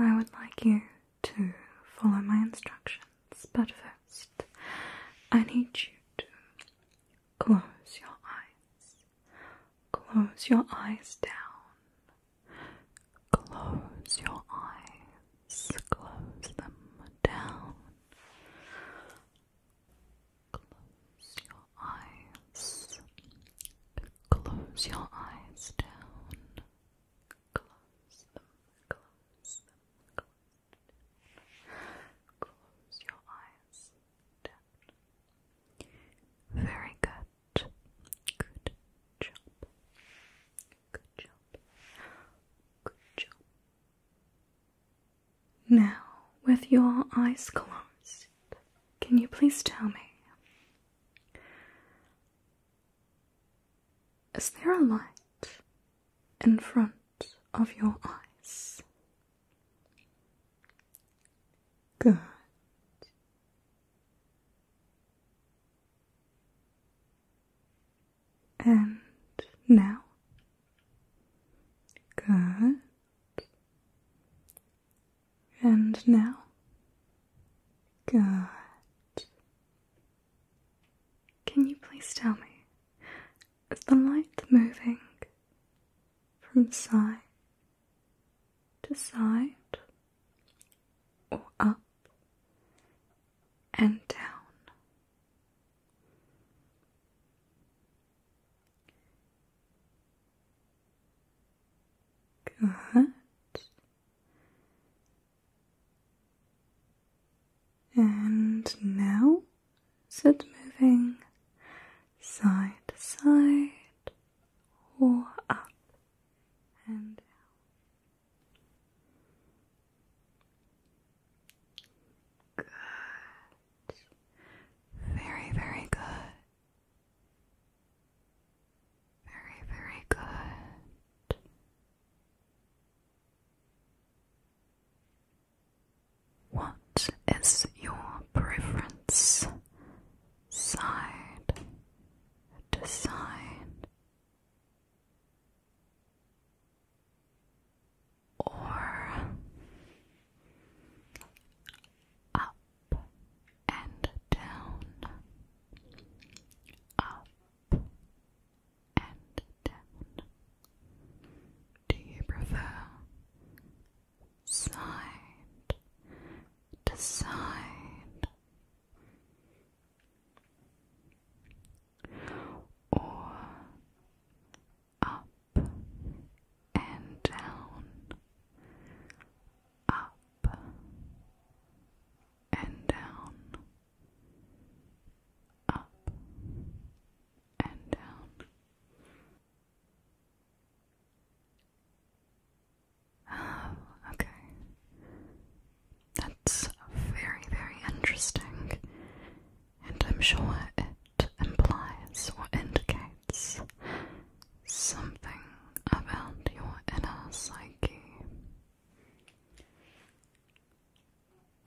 I would like you to follow my instructions, but first, I need you to close your eyes. Close your eyes down. Close your eyes close them down. Close your eyes. Close your eyes down. Close close Close your eyes down. Very good. Good job. Good job. Good job. Now, with your eyes closed, can you please tell me? Is there a light in front of your eyes? Good and now. Good. And now. Good. Can you please tell me, is the light moving from side to side or up and down. Good. And now sit moving side to side or up and down. Good. Very, very good. Very, very good. What is your preference? Side to side or up and down, up and down. Do you prefer side to side? or up and down, up and down, up and down. Oh, okay. That's very, very interesting and I'm sure it implies or indicates something about your inner psyche.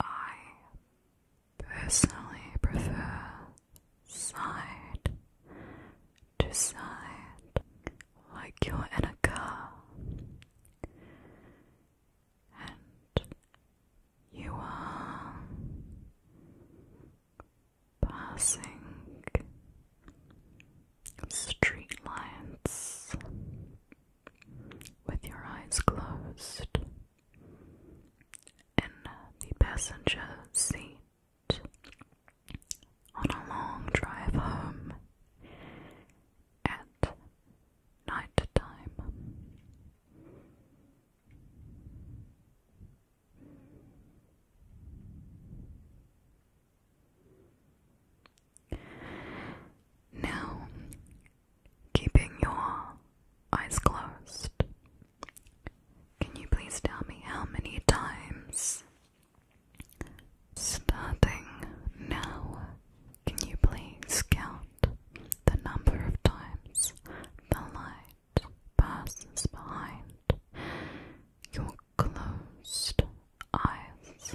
I personally prefer side to side, like you're in a car and you are passing street with your eyes closed in the passenger seat on a long drive home at night time. Now, keeping your eyes closed, can you please tell me how many times, starting now, can you please count the number of times the light passes behind your closed eyes?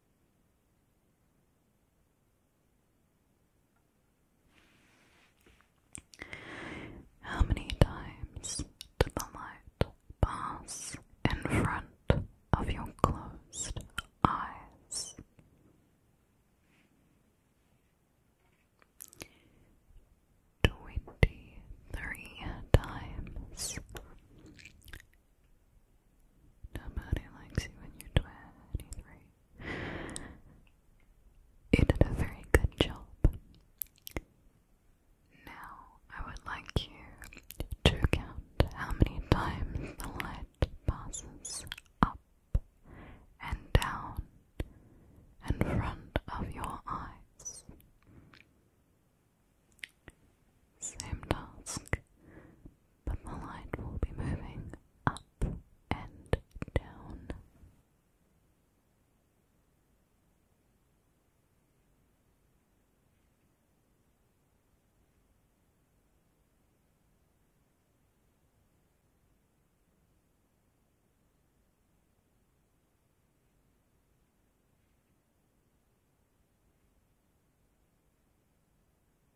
How many times did the light pass in front of your closed eyes? Twenty three times. Nobody likes you when you 23. You did a very good job. Now, I would like you to count how many times the light passes up and down in front of your eyes. Same task, but the light will be moving up and down.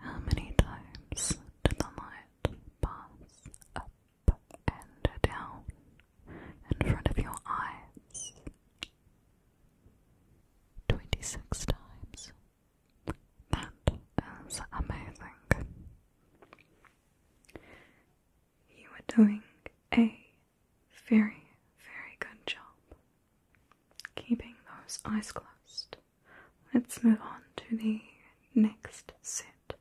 How many times did the lion up and down in front of your eyes 26 times. That is amazing. You are doing a very, very good job keeping those eyes closed. Let's move on to the next set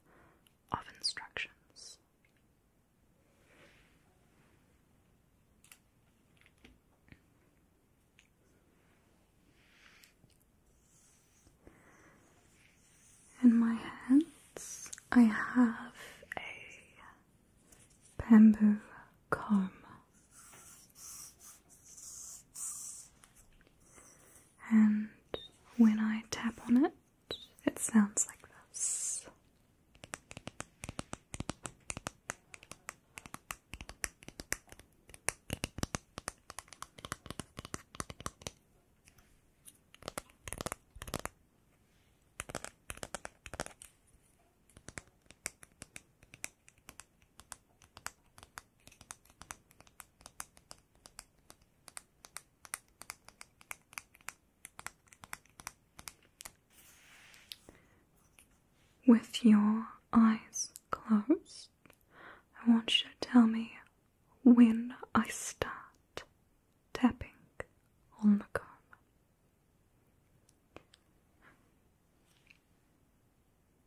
of instructions. In my hands, I have a bamboo comb and when I tap on it, it sounds like this. With your eyes closed, I want you to tell me when I start tapping on the comb.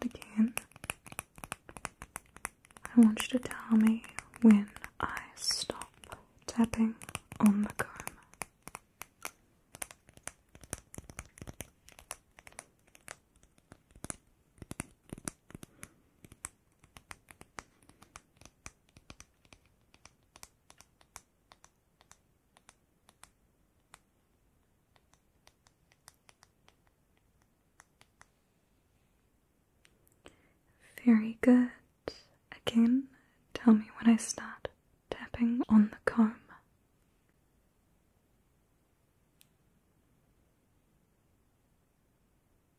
And again, I want you to tell me when I stop tapping on the comb. Very good. Again, tell me when I start tapping on the comb.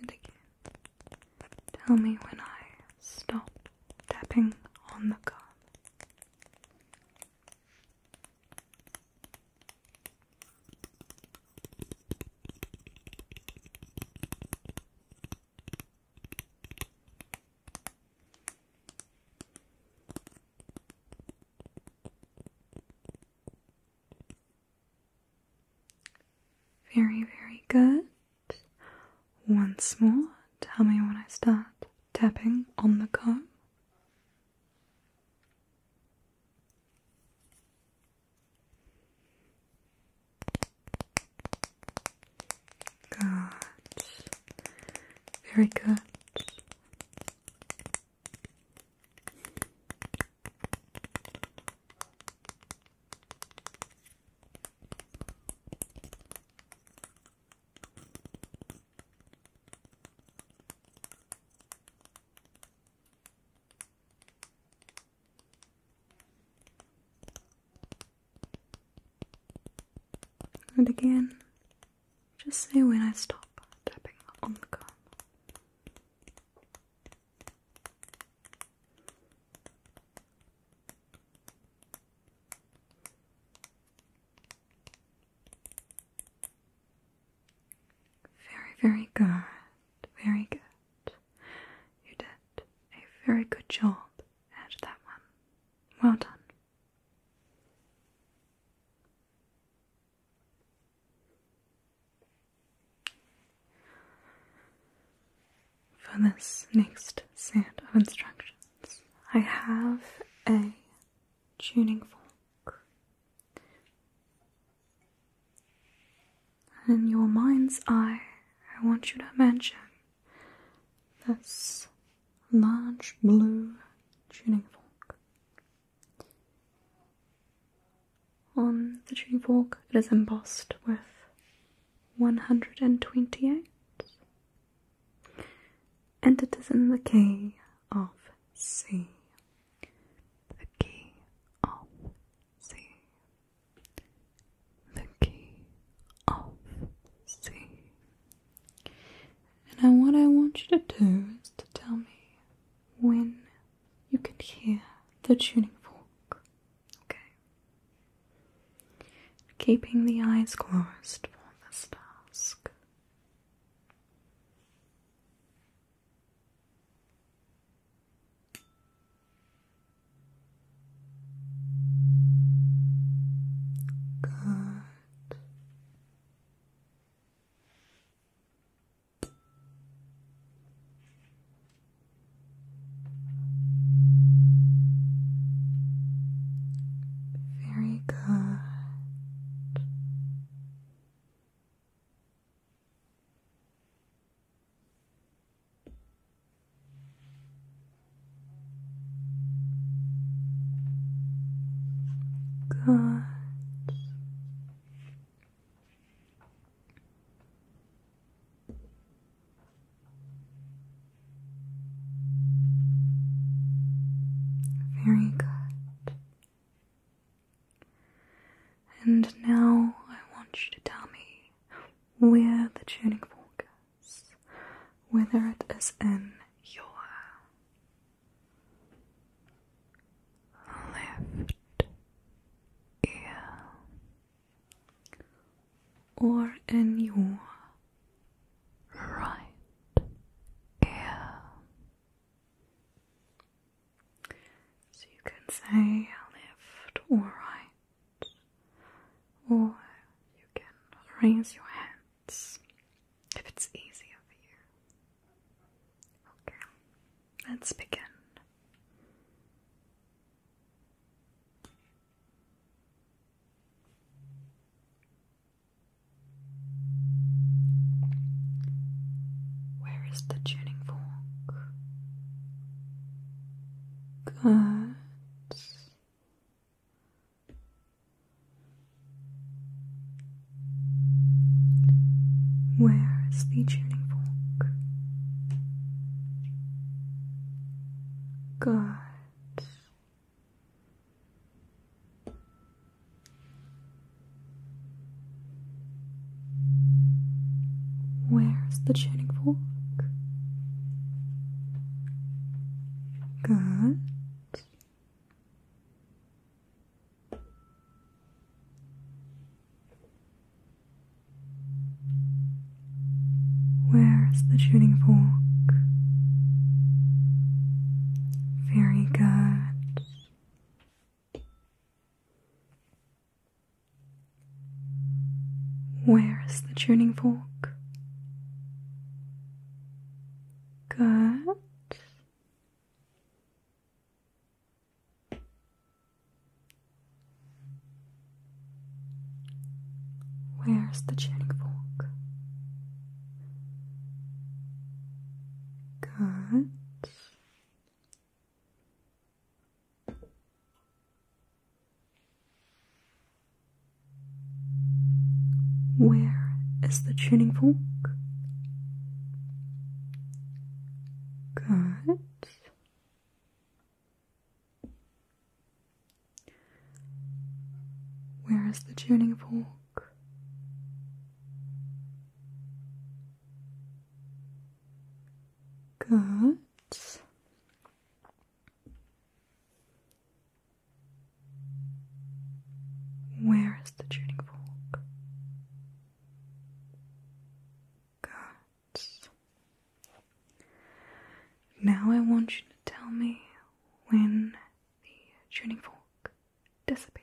and again. Tell me when I stop tapping on the card. Very, very good. Once more, tell me when I start tapping on the comb. Good. Very good. And again, just say when I stop tapping on the comb. Very, very good. Very good. You did a very good job at that one. Well done. For this next set of instructions, I have a tuning fork. in your mind's eye, I want you to imagine this large blue tuning fork. On the tree walk, it is embossed with 128, and it is in the key of C. The key of C. The key of C. And now, what I want you to do is to tell me when you can hear the tuning fork. Okay. Keeping the eyes closed for this task. Good. Very good. Good. Very good. And now I want you to tell me where the tuning fork is, whether it is in your left ear or in your right ear. So you can say left or right, or you can raise your hands if it's easy for you. Okay, let's begin. Where is the tuning fork? Good. Where is the tuning fork? Good. Where's the tuning fork? Good. Where is the tuning fork? Very good. Where is the tuning fork? Good. Where's the tuning fork? Good. Where is the tuning fork? Good. Where is the tuning fork? Good. Where is the tuning fork? Good. Now I want you to tell me when the tuning fork disappears.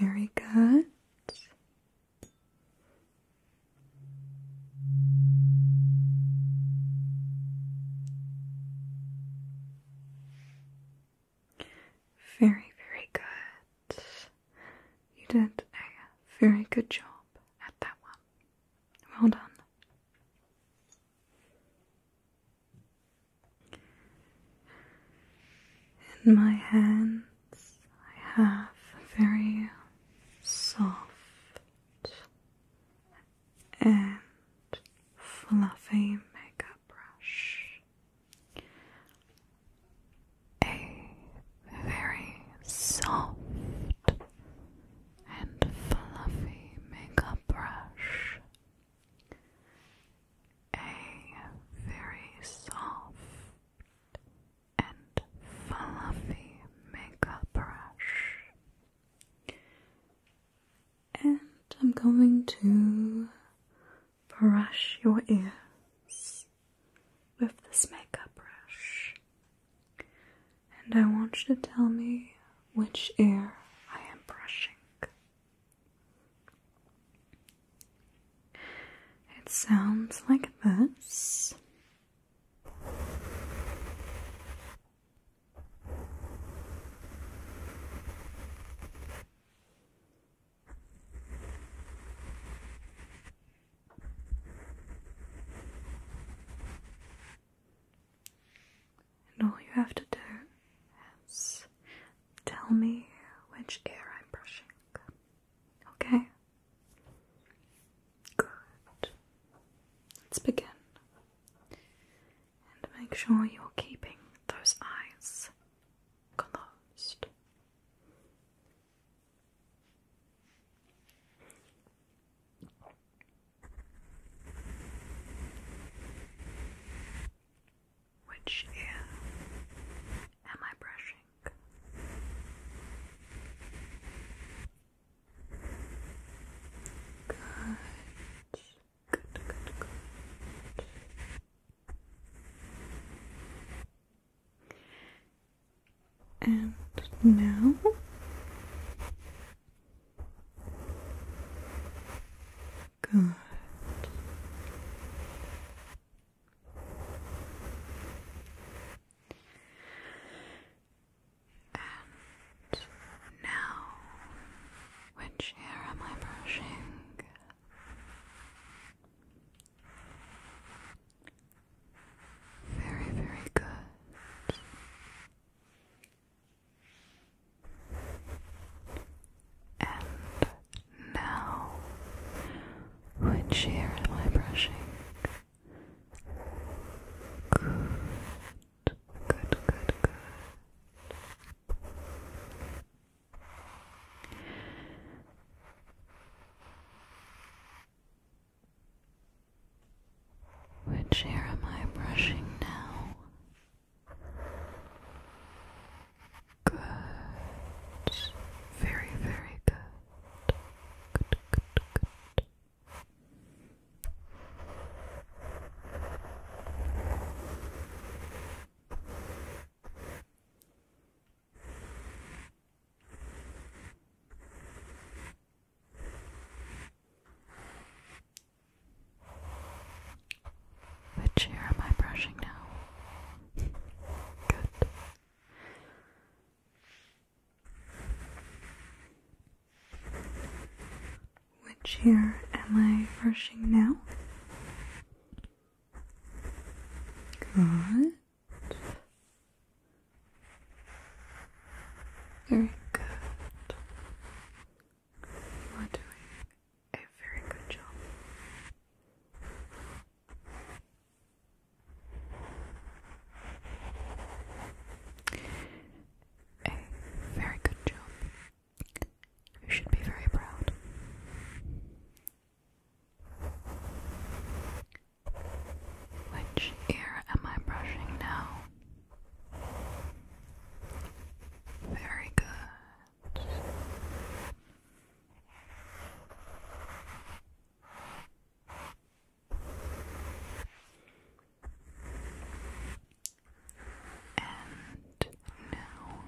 Very good. Very, very good. You did a very good job at that one. Well done. In my hands, I have a very soft and fluffy makeup brush. A very soft and fluffy makeup brush. A very soft and fluffy makeup brush. And I'm going to brush your ears with this makeup brush. And I want you to tell me which ear I am brushing. It sounds like this. And all you have to do is tell me which ear I'm brushing. Okay? Good. Let's begin. And make sure you're keeping those eyes closed. Which ear am I brushing? Good. Good, good, good. And now Good. And now, which hair am I brushing? Very, very good. And now, which ear am I brushing? Good, good, good, good. Which ear am I brushing now? Good. Very, very good. Good, good, good. Which ear am I brushing now? Good. Which ear am I brushing now? Good. Very good. You are doing a very good job. A very good job. You should be very proud. Which ear am I brushing now? Very good. And now,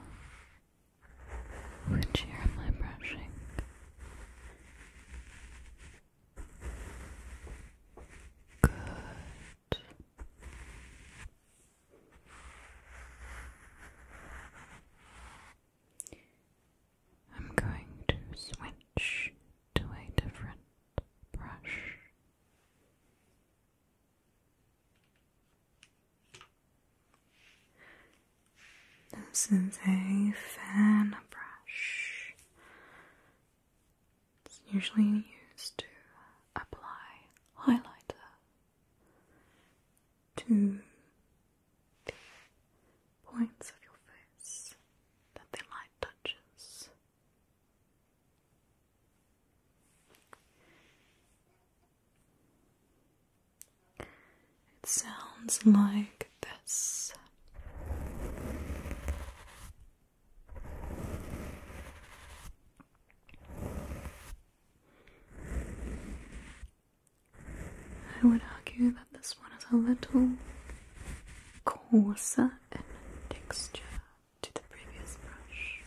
which ear am brushing? Good. I'm going to switch to a different brush. This is a fan brush. It's usually used to apply highlighter to the points of your face that the light touches. It sounds like this. I would argue that this one is a little coarser in texture to the previous brush.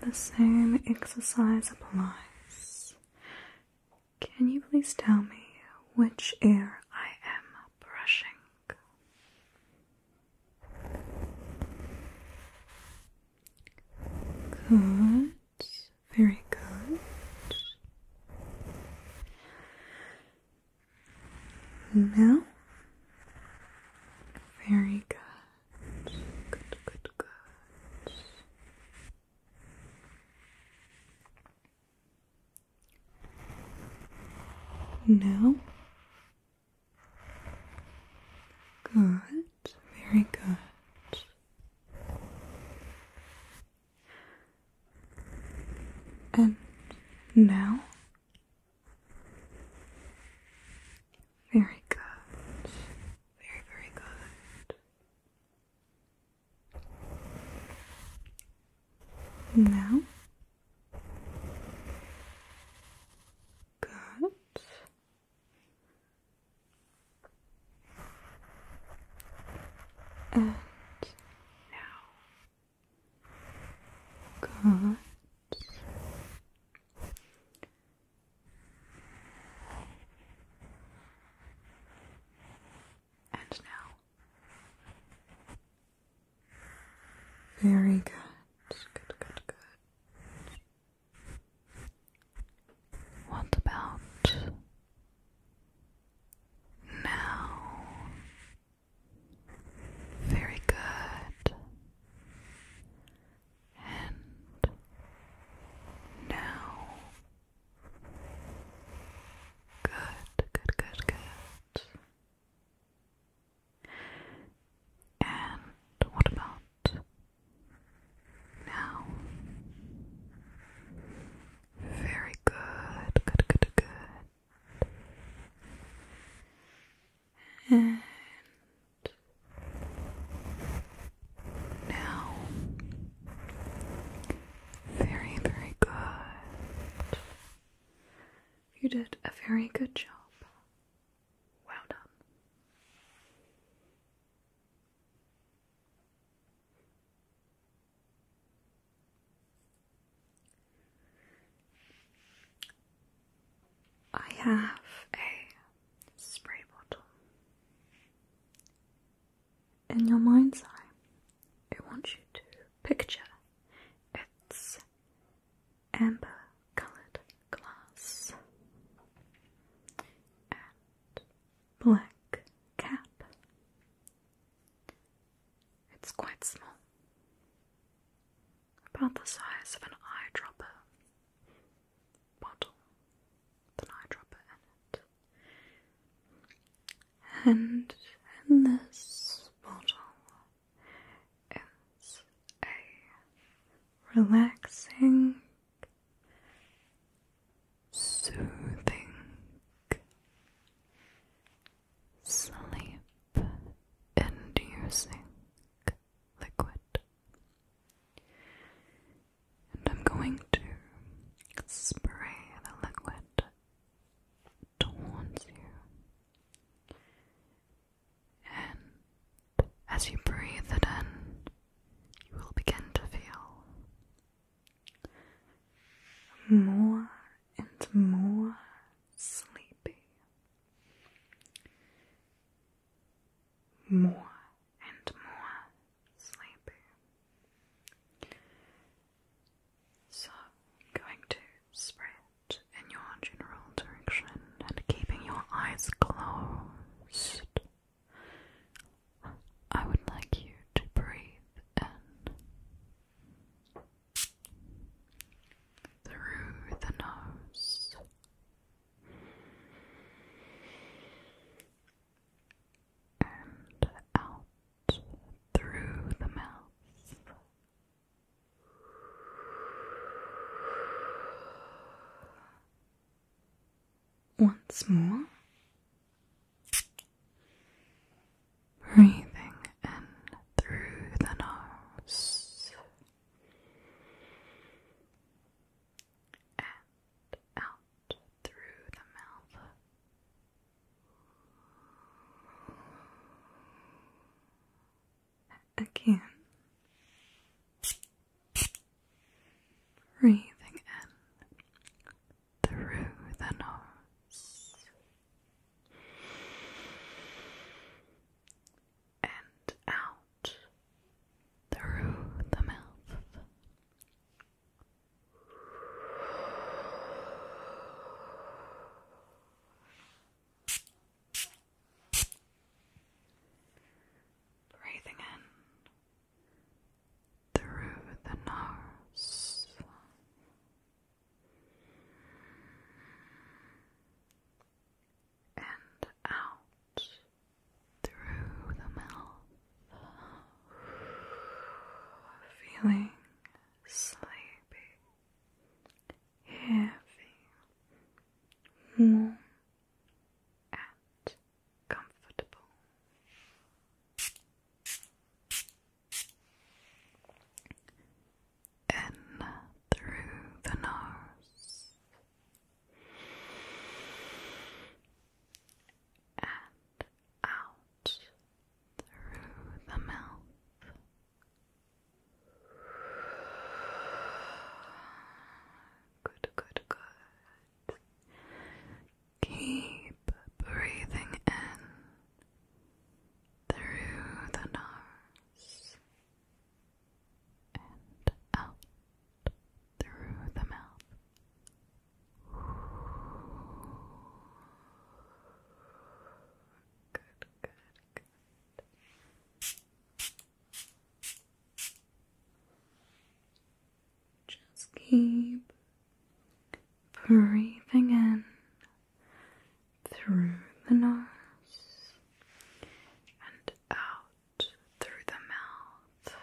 The same exercise applies. Can you please tell me which ear I am brushing? Good. Very good. Now, very good. Good, good, good. Now, Good, very good. And now? Very good. Very, very good. Now? got and now got and now very good. Good, good, good. What about now? Very good. And now. Good, good, good, good. And what about now? Very good, good, good, good. And now, very, very good. You did a very good job. Well done. I have a spray bottle. In your mind's eye, I want you to picture its amber coloured glass and black cap. It's quite small, about the size of an eyedropper bottle, with eyedropper in it. And this bottle is a relaxing, soothing sleep inducing liquid. And I'm going to spray the liquid towards you and as you breathe it in, you will begin to feel more and more sleepy, more and more sleepy. So, going to spread in your general direction and keeping your eyes closed. I would like you to breathe in through the nose. And out through the mouth. Once more. Breathing in through the nose and out through the mouth again. Breathing in through the nose and out through the mouth. Breathing in through the nose. And out through the mouth, feeling sleepy heavy, warm, and comfortable. In through the nose and out through the mouth. Good, good, good. Keep breathing in through the nose and out through the mouth. Good, good, good. Just keep breathing in through the nose and out through the mouth.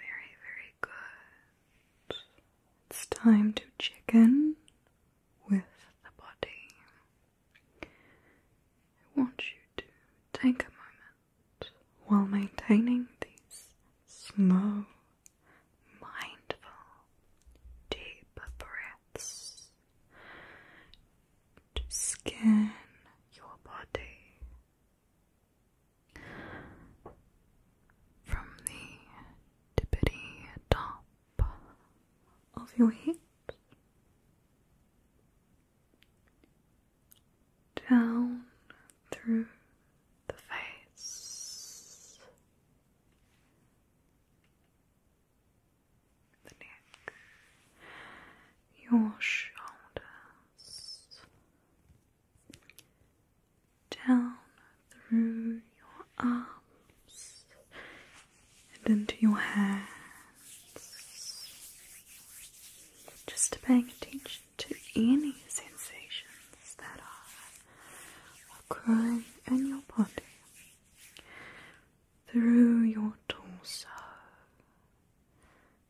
Very, very good. It's time to check in with the body. I want you to take a moment while maintaining these slow, mindful, deep breaths to scan your body from the tippity top of your hips down through the face, the neck, your shoulders down through your arms and into your hands. Just paying attention to any sensations that are occurring in your body through your torso,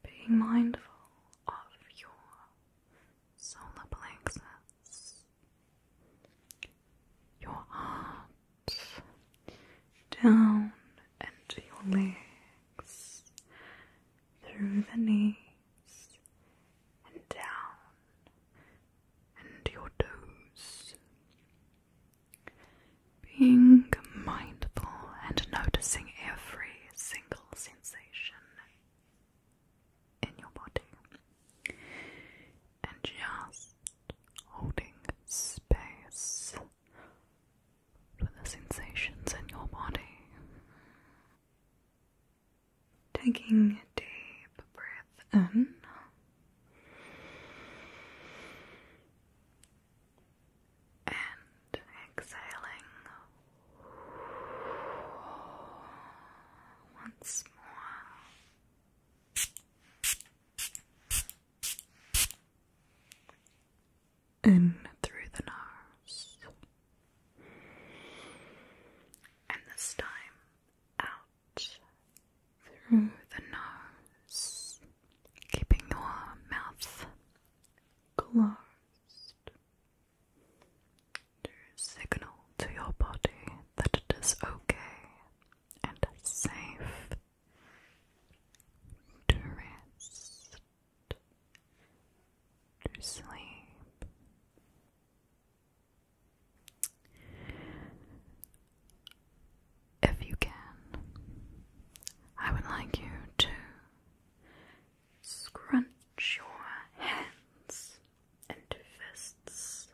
being mindful of your solar plexus your arms down into your legs, through the knees, and down into your toes. Being mindful and noticing every single sensation in your body and just holding space for the sensations in your body. Taking a deep breath in. And exhaling once more. In through the nose, and this time out through the nose, keeping your mouth closed to signal to your body that it is okay and safe to rest, to sleep. If you can, I would like you to Scrunch your hands into fists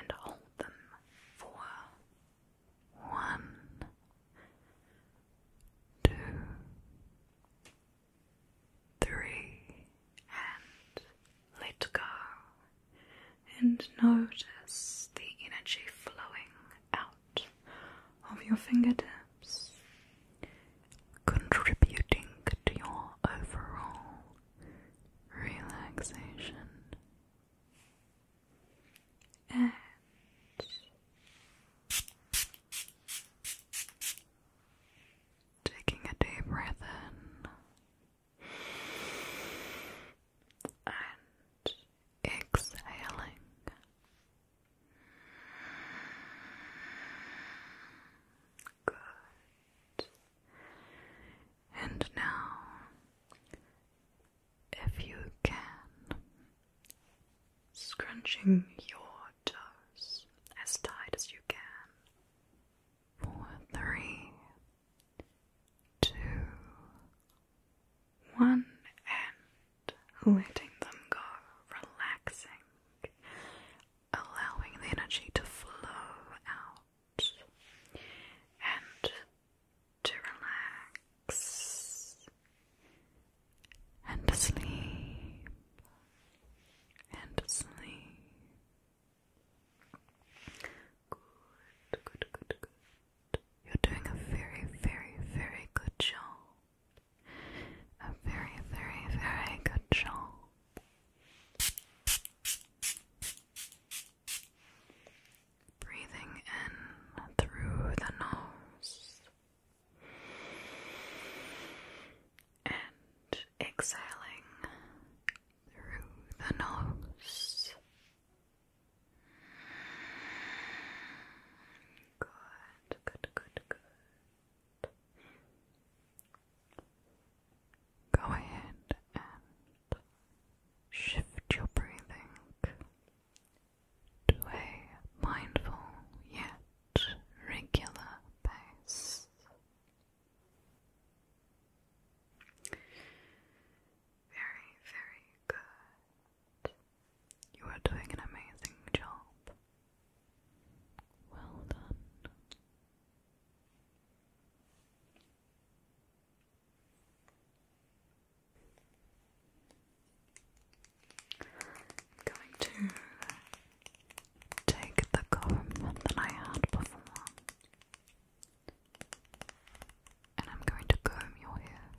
and hold them for one, two, three, and let go. And notice the energy flowing out of your fingertips contributing to your overall relaxation. taking a deep breath in and exhaling Good. And now, if you can, scrunching your toes as tight as you can. Four, three, two, one, and letting them go, relaxing, allowing the energy to flow out and to relax and to sleep and to sleep. Good, good, good, good. You're doing a very, very, very good job. A very, very, very good job. Breathing in through the nose and exhaling through the nose. Good, good, good, good. Go ahead and shift your breathing to a mindful yet regular pace. Very, very good. You are doing an amazing job. Well done. I'm going to take the comb that I had before and I'm going to comb your hair.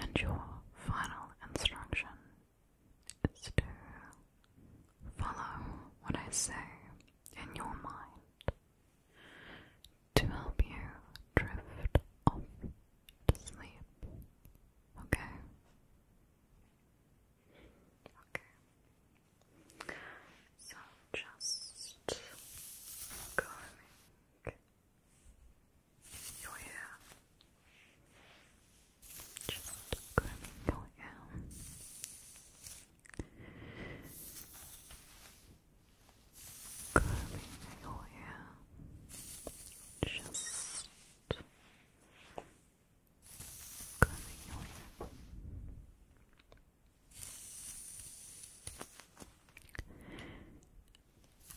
And your final instruction is to follow what I say in your mind to help you drift off to sleep. Okay? Okay. So just going your Just combing your hair. Combing Just combing your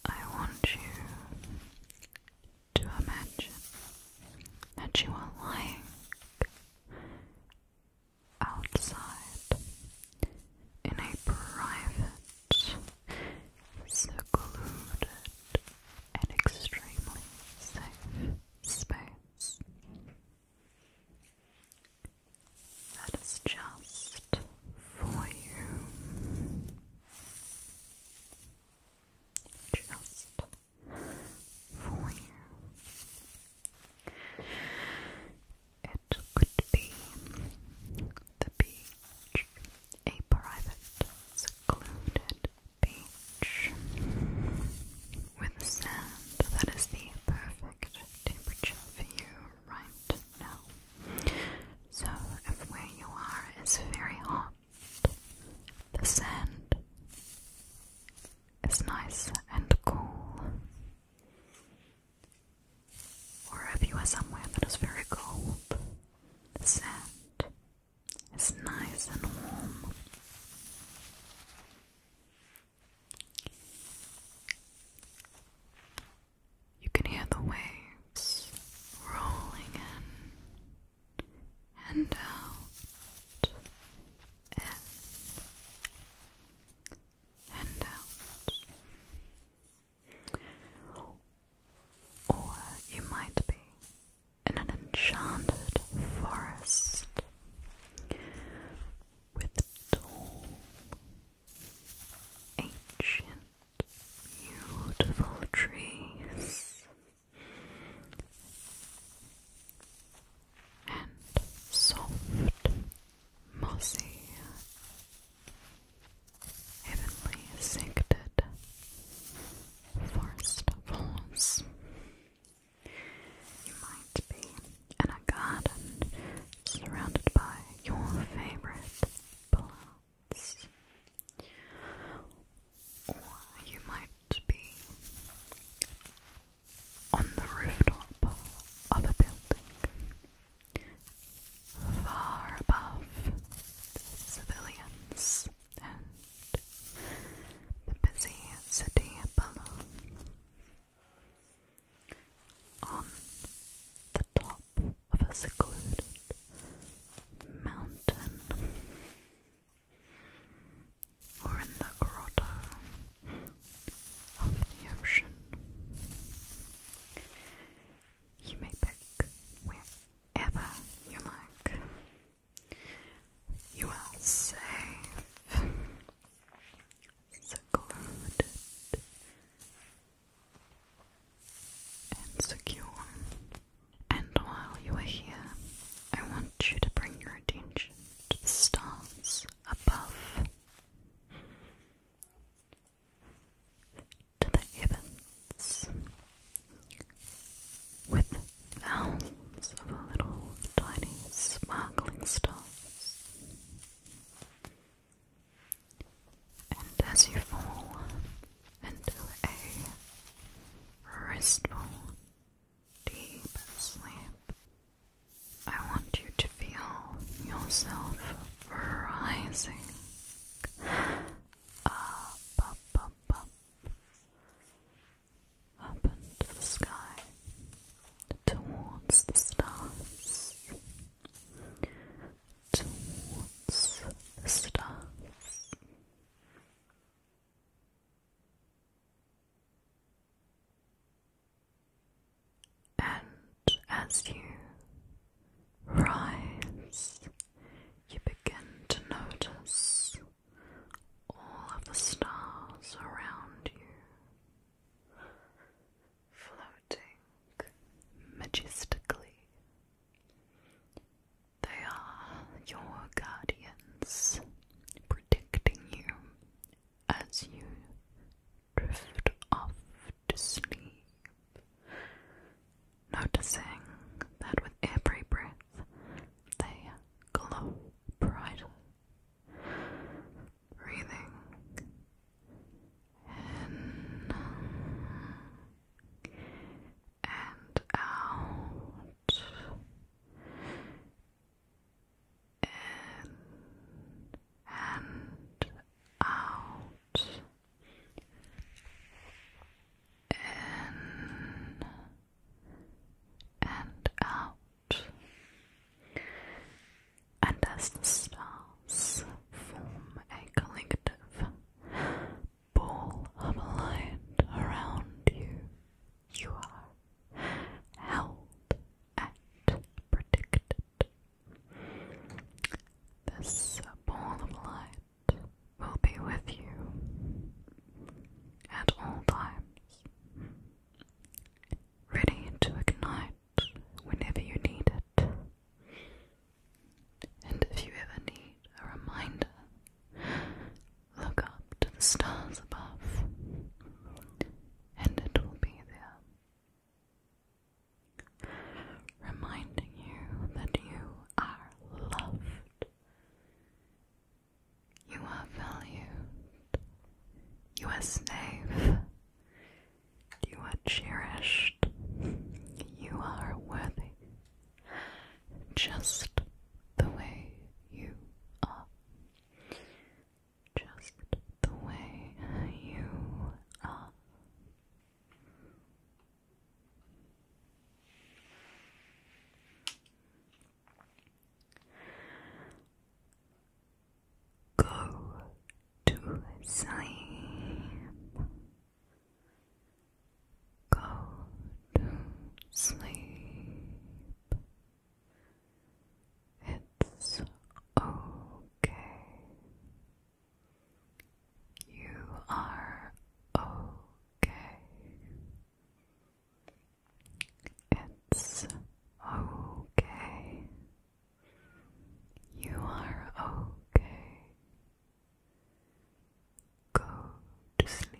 I want you to imagine that you are lying outside in a private, secluded, and extremely safe space. That is just for you just for you. It could be the beach, a private, secluded beach with sand that is the perfect temperature for you right now. So, if where you are is very hot, the sand is nice and cool. Or if you are somewhere that is very cold, the sand is nice and warm. You can hear the waves rolling in and out and out. Or you might be in an enchanted forest with tall, ancient, beautiful trees and soft, mossy, heavenly scented forest falls. You might be in a garden surrounded by your favorite plants. Or you might be on the rooftop of a building, far above civilians and the busy city below. On the top of a secluded mountain, or in the grotto of the ocean. You may pick wherever you like. You are safe, secluded, and secure. And while you are here, I want you to bring your attention to the stars above, to the heavens, with thousands of little tiny sparkling stars. And as you fall into a restful, deep sleep. I want you to feel yourself rising up, up, up, up, up into the sky, towards the stars, towards the stars. And as you rise, you begin to notice all of the stars around you floating majestically they are your guardians, protecting you as you drift off to sleep. Noticing that with every breath they glow brighter. Breathing in and out in and out in and out and as the stars form a collective ball of light around you. You are held and protected. This ball of light will be with you at all times, ready to ignite whenever you need it. And if you ever need a reminder Look up to the stars above, and it will be there, reminding you that you are loved, you are valued, you are safe, you are cherished, you are worthy just the way you are. Just the way you are. Go to Siam. Go to sleep. It's okay. You are okay. It's okay. You are okay. Go to sleep.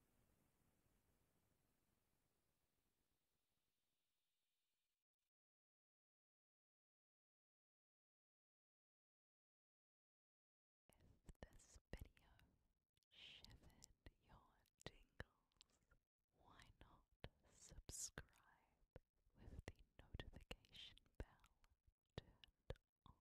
If this video shivered your tingles, why not subscribe with the notification bell turned on?